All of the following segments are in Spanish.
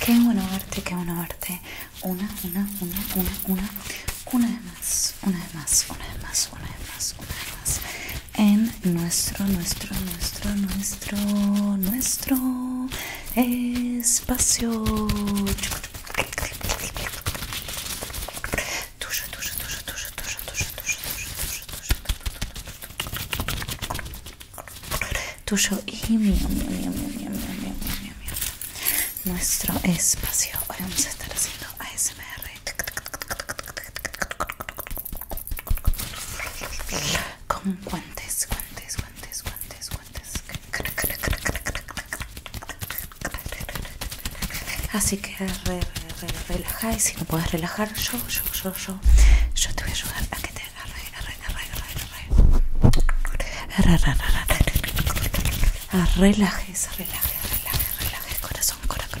Qué bueno verte, qué bueno verte. Una, una, una, una, una. Una más, una de más, una de más, una de más, una más en nuestro, nuestro, nuestro, nuestro, nuestro espacio. Tuyo, tuyo, tuyo, tuyo, tuyo, tuyo, tuyo, tuyo, tuyo, y mío, mío, nuestro espacio. Hoy vamos a estar haciendo ASMR. Con guantes, guantes, guantes, guantes, guantes. Así que re, y si no puedes relajar, yo, yo, yo, yo, yo te voy a ayudar a que te agarre, agarre, agarre, agarre, Relajes, relajes, relajes, relajes, corazón, corazón,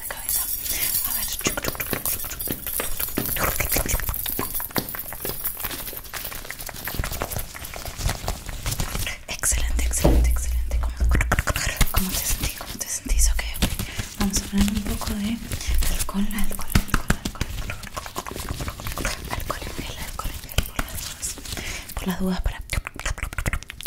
cabeza. A ver. Excelente, excelente, excelente. ¿Cómo, te sentís? ¿Cómo te sentís? Ok, vamos a hablar un poco de alcohol, alcohol, alcohol, alcohol. Alcohol alcohol Por las dudas para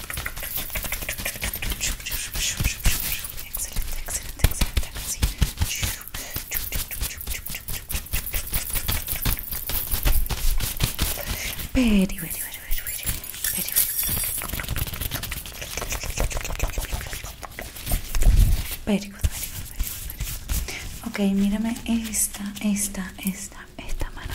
Excelente, excelente, excelente. Así. Ok, mírame esta, esta, esta, esta mano.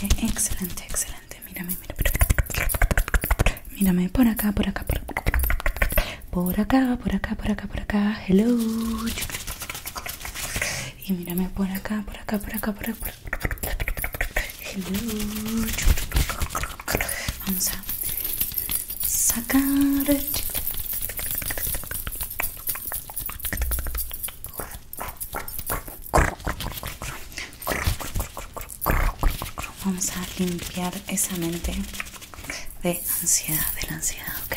Excelente, excelente, excelente. Mírame, mira. Mírame por acá, por acá, por acá. Por acá, por acá, por acá, por acá. Hello. Y mírame por acá, por acá, por acá, por acá. Vamos a sacar. Vamos a limpiar esa mente de ansiedad, de la ansiedad, ¿ok?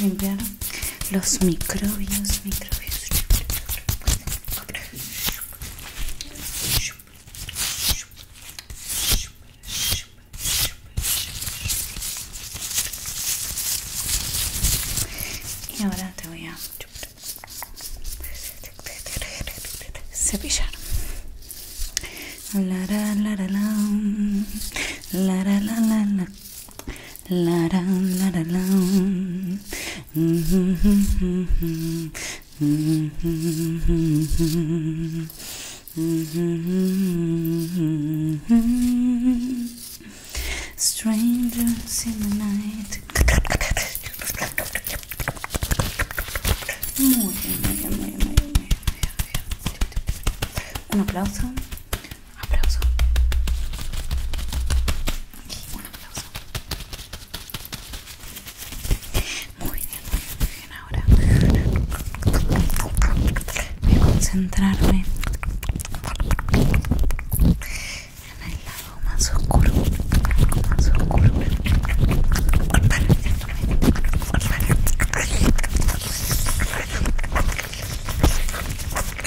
limpiar los microbios, microbios. Y ahora te voy a cepillar. La la la la la la la la la la, la, la, la. Strangers in the night. Un aplauso aplauso un aplauso muy bien, muy bien ahora voy a concentrarme en el lado más oscuro más oscuro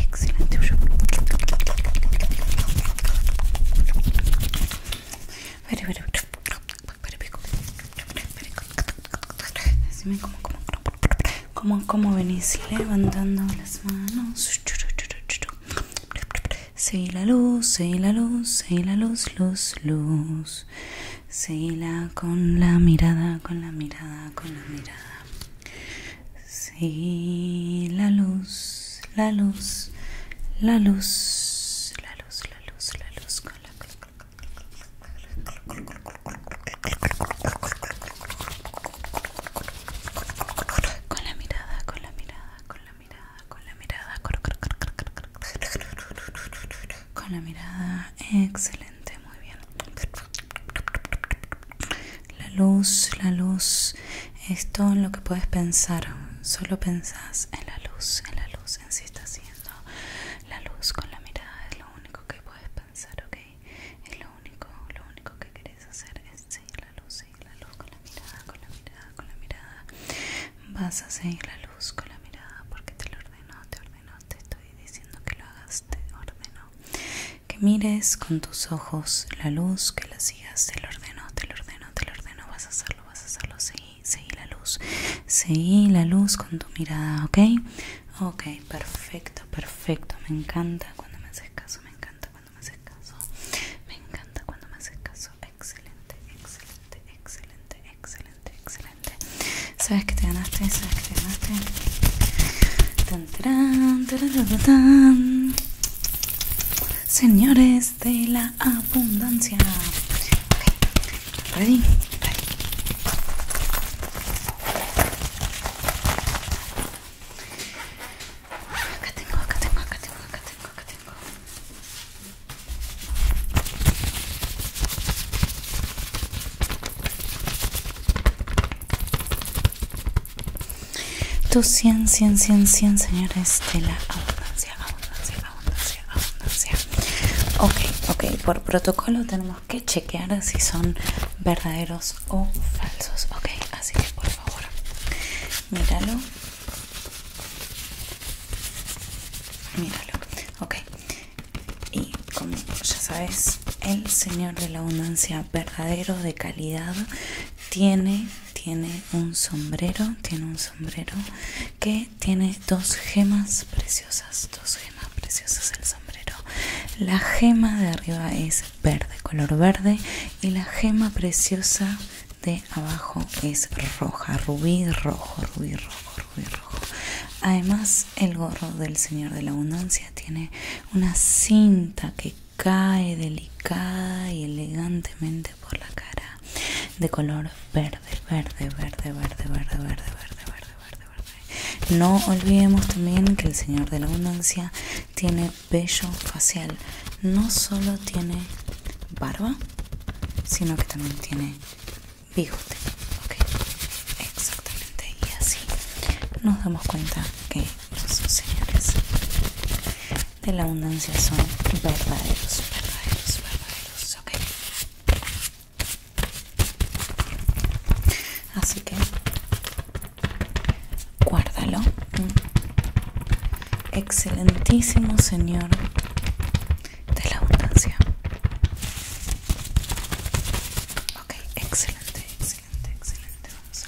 Excelente, como como venís levantando las manos seguí la luz, seguí la luz, seguí la luz, luz, luz. la con la mirada, con la mirada, con la mirada. Sí, la luz, la luz, la luz, la luz, la luz, la luz, con la con la mirada, con la mirada, con la mirada, con la mirada. Con la mirada. Excelente, muy bien. La luz, la luz. Esto en lo que puedes pensar. Solo pensás en la luz, en la luz. En si está haciendo la luz con la mirada. Es lo único que puedes pensar, ¿ok? Es lo único, lo único que hacer seguir la luz, con la mirada, con la mirada, con la mirada. Vas a seguir la luz con la mirada porque te lo ordenó, te ordenó, te estoy diciendo que lo hagas, te ordenó. Que mires con tus ojos la luz, que la sigas, te lo ordenó, te lo ordenó, te lo ordenó, vas a hacerlo, vas a hacerlo, seguí, seguí la luz, seguí la luz con tu mirada, ¿ok? Ok, perfecto, perfecto, me encanta cuando me haces caso, me encanta cuando me haces caso. Me encanta cuando me haces caso. Excelente, excelente, excelente, excelente, excelente. Sabes que te ganaste, sabes que te ganaste. Tan, Señores de la abundancia. Ready, Ready. Acá tengo, acá tengo, acá tengo, acá tengo, acá tengo. Tu 100, 100, 100, 100, señores de la abundancia, abundancia, abundancia, abundancia. Ok, ok, por protocolo tenemos que chequear si son verdaderos o falsos. Ok, así que por favor míralo míralo ok y como ya sabes el señor de la abundancia verdadero de calidad tiene tiene un sombrero tiene un sombrero que tiene dos gemas preciosas dos gemas preciosas el sombrero la gema de arriba es verde, color verde. Y la gema preciosa de abajo es roja, rubí rojo, rubí rojo, rubí rojo. Además, el gorro del Señor de la Abundancia tiene una cinta que cae delicada y elegantemente por la cara de color verde, verde, verde, verde, verde, verde, verde, verde, verde, verde. No olvidemos también que el Señor de la Abundancia tiene vello facial no solo tiene barba, sino que también tiene bigote. exactamente. Y así nos damos cuenta que los señores de la abundancia son verdaderos, verdaderos, verdaderos. Ok. Así que Guárdalo. Mm. Excelentísimo Señor de la abundancia. Ok, excelente, excelente, excelente. Vamos a...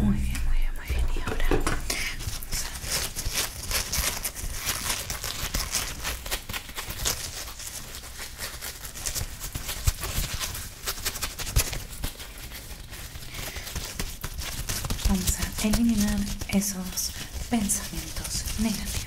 Muy bien, muy bien, muy bien. Y ahora vamos a... Vamos a eliminar esos pensamientos negativos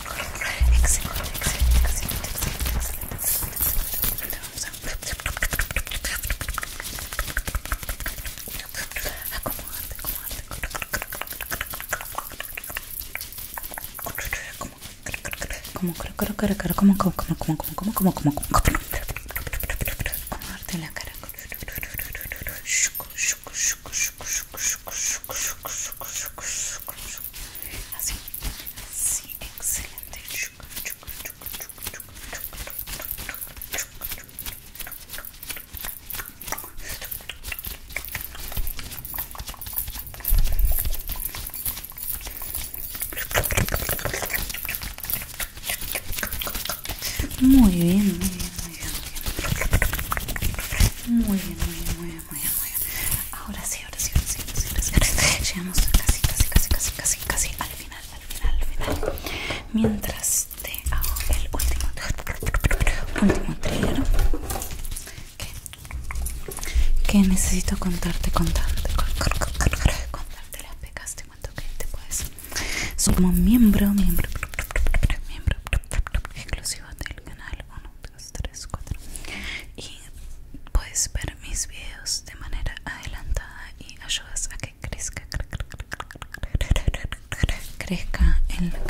Excelente, excelente, excelente, excelente, Vamos a acomodarte, Como, como, como, como, acomodarte la cara. Así, así, excelente. Muy bien, muy bien, muy Ahora sí, ahora sí, ahora sí, ahora sí, ahora sí, Llegamos casi, casi, casi, casi, casi, casi al final, al final, al final. Mientras te hago el último, último que, que necesito contarte, contarte, contarte las pecas. cuánto que te puedes. Somos miembro, miembro, miembro exclusivo del canal 1, 2, 3, 4 y puedes ver mis videos de manera adelantada y ayudas a que crezca crezca el canal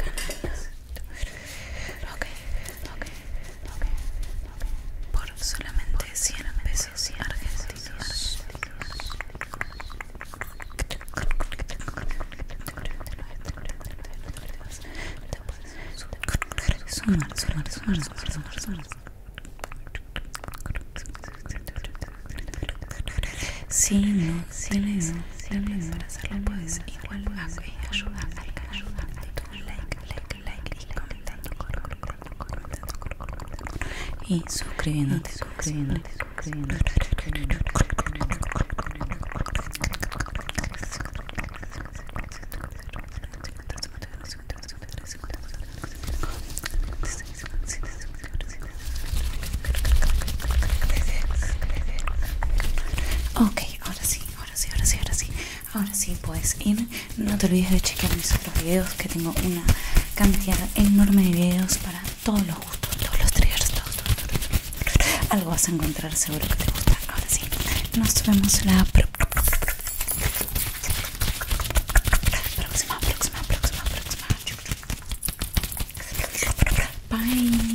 ok, ok, ok, por solamente 100 pesos y argentinos sumar, sumar, sumar, sumar. Si no para hacerlo, puedes igual y y suscribiéndote, suscribiéndote, suscribiéndote. Ok, ahora sí, ahora sí, ahora sí, ahora sí. Ahora sí puedes ir. No te olvides de chequear mis otros videos que tengo una cantidad enorme de videos para todos los gustos, todos los triggers, todos, algo vas a encontrar seguro que te gusta. Ahora sí, nos vemos la próxima, próxima, próxima, próxima. Bye.